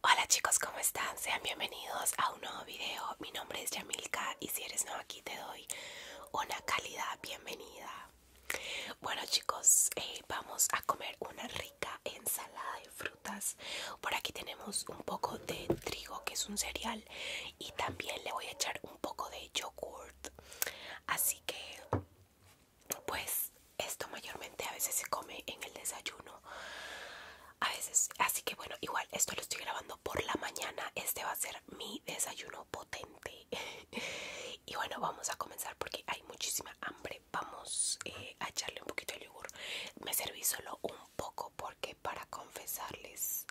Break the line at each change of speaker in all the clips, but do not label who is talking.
Hola chicos, ¿cómo están? Sean bienvenidos a un nuevo video. Mi nombre es Yamilka y si eres nuevo aquí te doy una calidad bienvenida. Bueno chicos, eh, vamos a comer una rica ensalada de frutas. Por aquí tenemos un poco de trigo, que es un cereal, y también le voy a echar un poco de yogurt. Así que, pues, esto mayormente a veces se come en el desayuno a veces así que bueno igual esto lo estoy grabando por la mañana este va a ser mi desayuno potente y bueno vamos a comenzar porque hay muchísima hambre vamos eh, a echarle un poquito de yogur me serví solo un poco porque para confesarles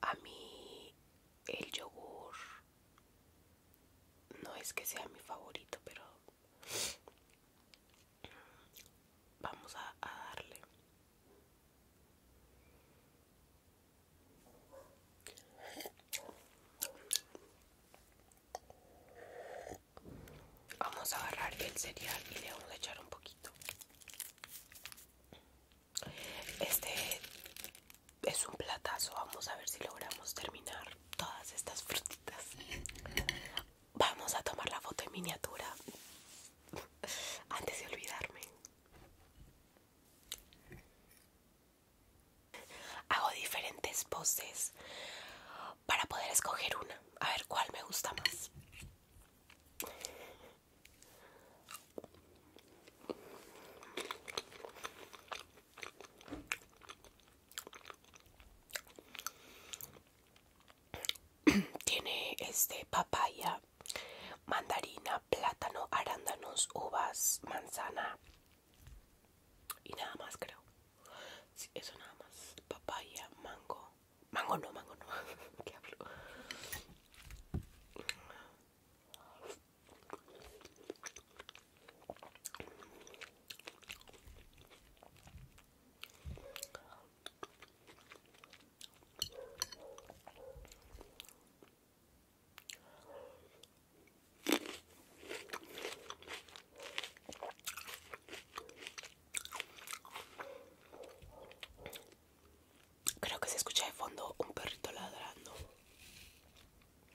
a mí el yogur no es que sea mi favorito pero Vamos a, darle. Vamos a agarrar el cereal y le vamos a echar un poquito. Este es un platazo, vamos a ver si logramos terminar todas estas frutitas. Vamos a tomar la foto en miniatura antes de olvidarme. Hago diferentes poses para poder escoger una. A ver cuál me gusta más. Tiene este papaya, mandarina, plátano, arándanos, uvas, manzana y nada más creo. eso nada más. Papaya, mango. Mango no, mango no. ¿Qué hablo? Creo que se escucha de fondo un perrito ladrando.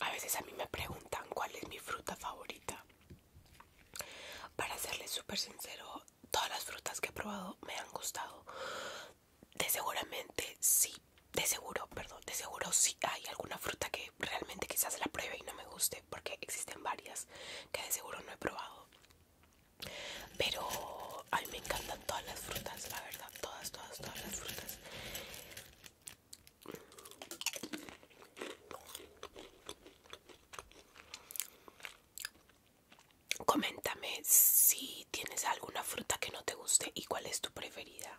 A veces a mí me preguntan cuál es mi fruta favorita para serles súper sincero, todas las frutas que he probado me han gustado. De seguramente sí, de seguro, perdón, de seguro sí hay alguna fruta que realmente quizás la pruebe y no me guste, porque existen varias que de seguro no he probado. Pero a mí me encantan todas las frutas, la verdad, todas, todas, todas las frutas. Coméntame si tienes alguna fruta que no te guste y cuál es tu preferida.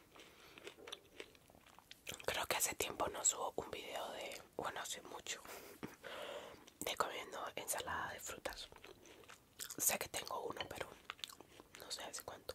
Creo que hace tiempo no subo un video de, bueno, hace mucho, de comiendo ensalada de frutas. Sé que tengo uno, pero no sé hace cuánto.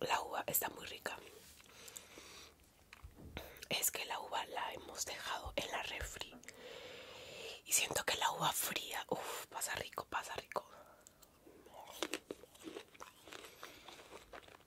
La uva está muy rica. Es que la uva la hemos dejado en la refri. Y siento que la uva fría, pasa rico, pasa rico.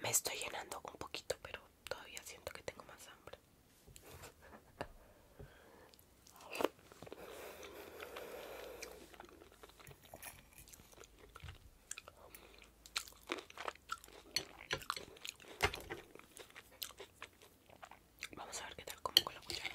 Me estoy llenando un poquito, pero todavía siento que tengo más hambre. Vamos a ver qué tal como con la cuchara.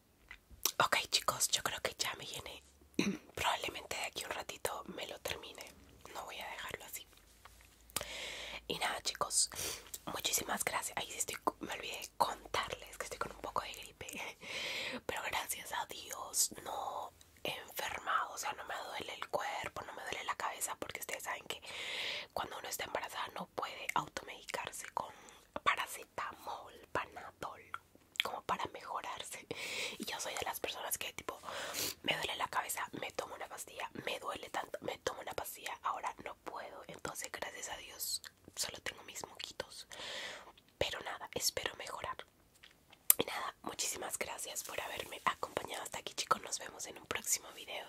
Ok chicos, yo creo que ya me llené. Probablemente de aquí un ratito me lo termine. No voy a dejarlo así. Y nada chicos, muchísimas gracias. Ahí me olvidé contarles que estoy con un poco de gripe. Pero gracias a Dios no he enfermado. O sea, no me duele el cuerpo, no me duele la cabeza. Porque ustedes saben que cuando uno está embarazada no puede automedicarse con paracetamol Tamol, panadol, como para mejorarse. Y yo soy de las personas que tipo, me duele la cabeza, me tomo una pastilla, me duele tanto, me tomo una pastilla, ahora no puedo. Entonces, gracias a Dios, solo tengo mis moquitos. Pero nada, espero mejorar. Y nada, muchísimas gracias por haberme acompañado hasta aquí, chicos. Nos vemos en un próximo video.